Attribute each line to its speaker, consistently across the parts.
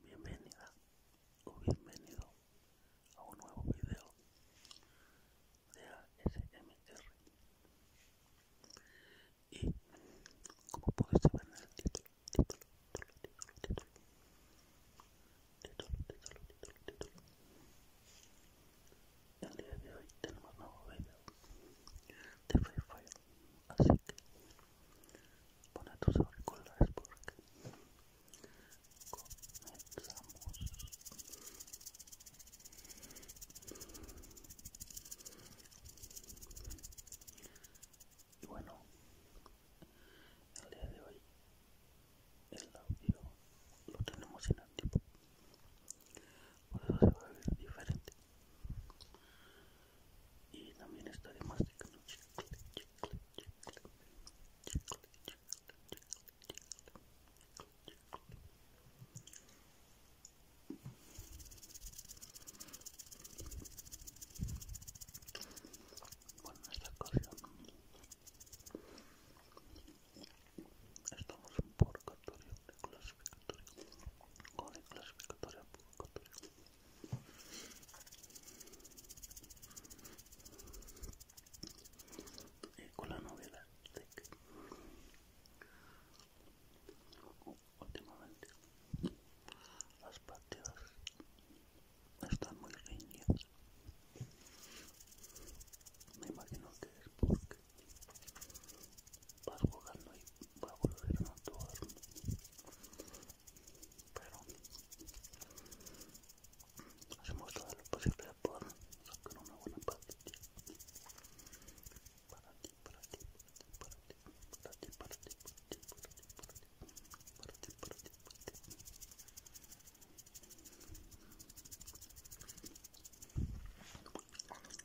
Speaker 1: Bienvenida o bienvenido a un nuevo video de ASMR. Y como puedes ver en el título, título, título, título, título, título, título, título, el día de hoy tenemos nuevo video de Free Fire, así que pon a tus auriculares porque comenzamos. Y bueno, el día de hoy el audio lo tenemos en antiguo pues se va a diferente y también está masticando chicle, bueno esta ocasión estamos por catorce con en clasificatoria convocatoria. Y con la novedad de que últimamente las partidas están muy riñidas. Me imagino que es porque vas jugando y va a volver a actuar pero hacemos todo lo posible por sacar una buena para ti, para ti, para ti, para ti, para ti, para ti, para ti, para ti, para ti, para ti.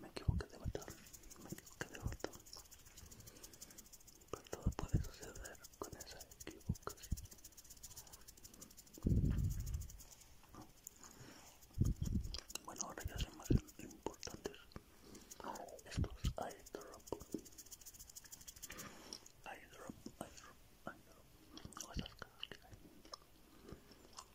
Speaker 1: Me equivoqué de botón, me equivoqué de botón. Pero todo puede suceder con esa equivocación. Bueno, ahora ya son más importantes estos eye drop. O esas cosas que hay.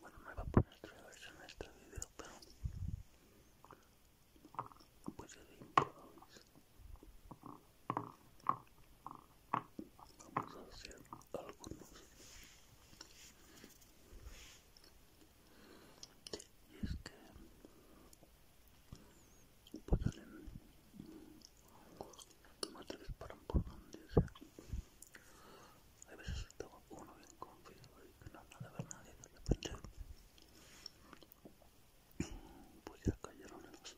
Speaker 1: Bueno, me va a poner versión en este video, pero pues de improviso. Vamos a hacer algunos. Y es que pues No matarles disparan por donde sea. A veces estaba uno bien confiado y que no nada ver nadie de repente pues ya cayeron en los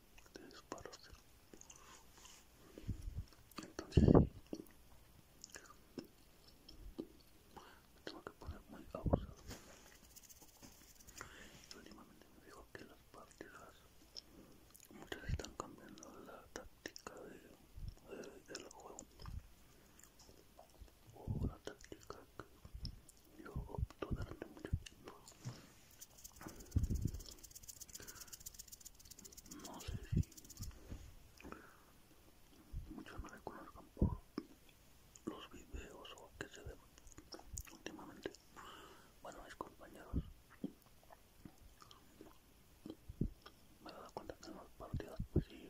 Speaker 1: disparos entonces tengo que poner muy abusado últimamente me dijo que las partidas muchos están cambiando la táctica de, del juego o la táctica que yo opto durante mucho tiempo no sé si muchos me reconozcan por los videos o que se ve últimamente bueno, mis compañeros, me he dado cuenta que no los partidos, si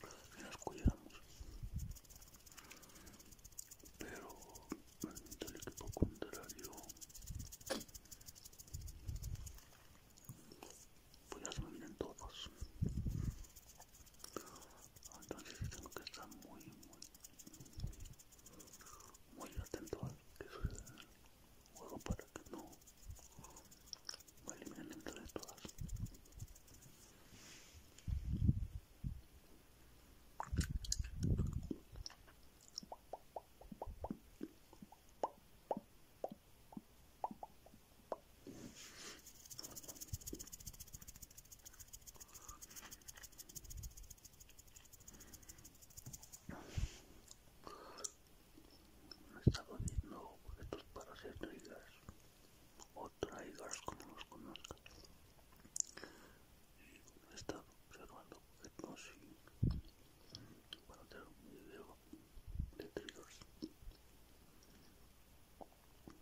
Speaker 1: pues nos cuidamos, pero frente al equipo contrario, pues ya se me vienen todos entonces tengo que estar muy muy muy atento a que el juego para que no me eliminen entre todas me he viendo objetos estos para hacer triggers o triggers como los conozcas. Y me observando objetos y para hacer un video de triggers.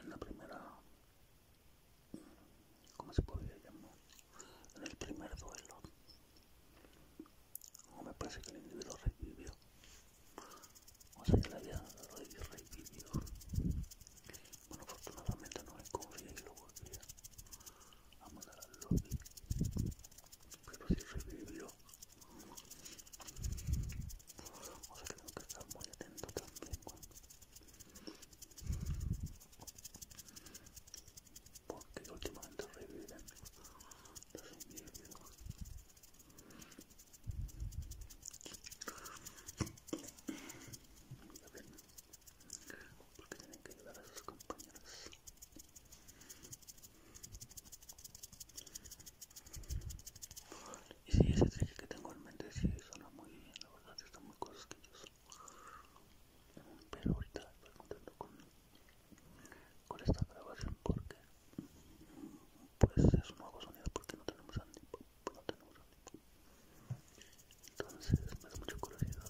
Speaker 1: en la primera ¿cómo se podría llamar? en el primer duelo no me parece que el individuo revivió o sea que la había revivió, bueno afortunadamente no hay confié y lo Vamos a la al lobby. Pero si revivió. O sea que tengo que estar muy atento también Porque últimamente reviven los individuos. porque tienen que ayudar a sus compañeros. Y si ese trick que tengo en mente sí suena muy bien, la verdad están muy cosquillos. Pero ahorita estoy contento con, esta grabación porque pues es un nuevo sonido porque no tenemos Andy, pues, Entonces me da mucha curiosidad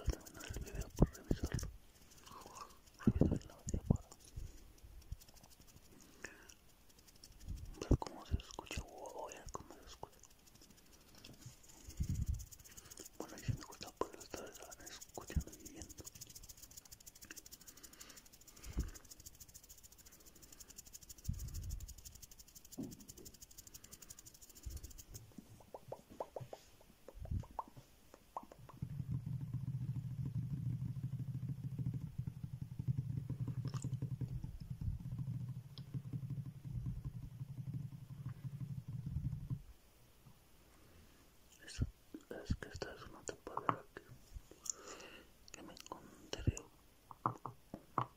Speaker 1: al terminar el video por revisarlo ver cómo se escucha, a ver cómo se escucha. Bueno, si me gusta por estar escuchando y viendo es que esta es una tapadera que, me encontré.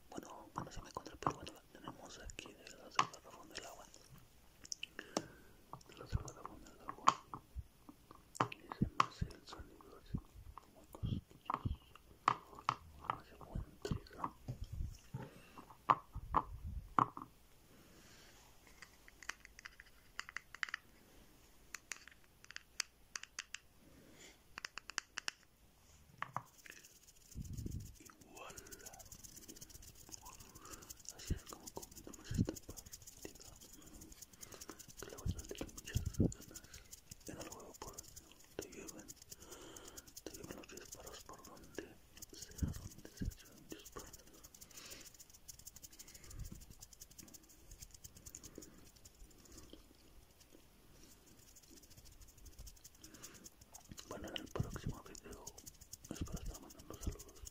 Speaker 1: Bueno, bueno, se me encontré, pero bueno, la tenemos aquí del garrafón del agua la zona con el agua y se me hace el sonido así muy cosquilloso hace buen trigo Igual Así es como esta partida. Que muchas ganas en el juego por te lleven, te lleven los disparos por donde sea, donde se Bueno, en el próximo video espero estar mandando saludos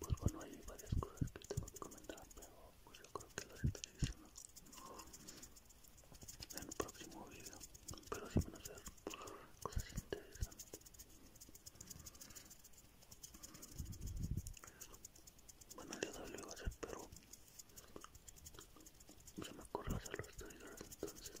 Speaker 1: Pues bueno, hay varias cosas que tengo que comentar, pero pues, yo creo que las estaré en el próximo video. Pero si van a ser cosas interesantes. Bueno, yo día lo iba a hacer, pero se me ocurrió hacer los este trailers entonces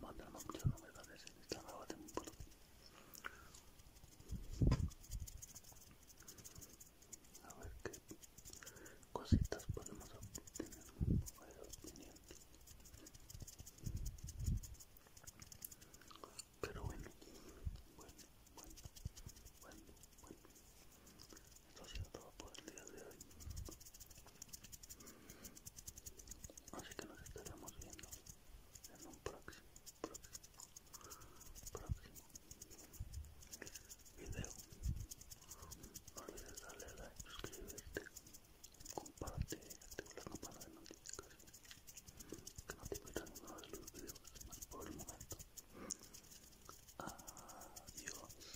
Speaker 1: mandan muchas novedades en esta nueva temporada. A ver qué cositas podemos obtener. Pero bueno, bueno, bueno, bueno, bueno. Esto ha sido todo por el día de hoy. Así que nos estaremos viendo en un próximo, próximo, próximo video. No olvides darle like, suscribirte, comparte y activa la campana de notificaciones que no te pierdas ninguno de los videos por el momento. Adiós.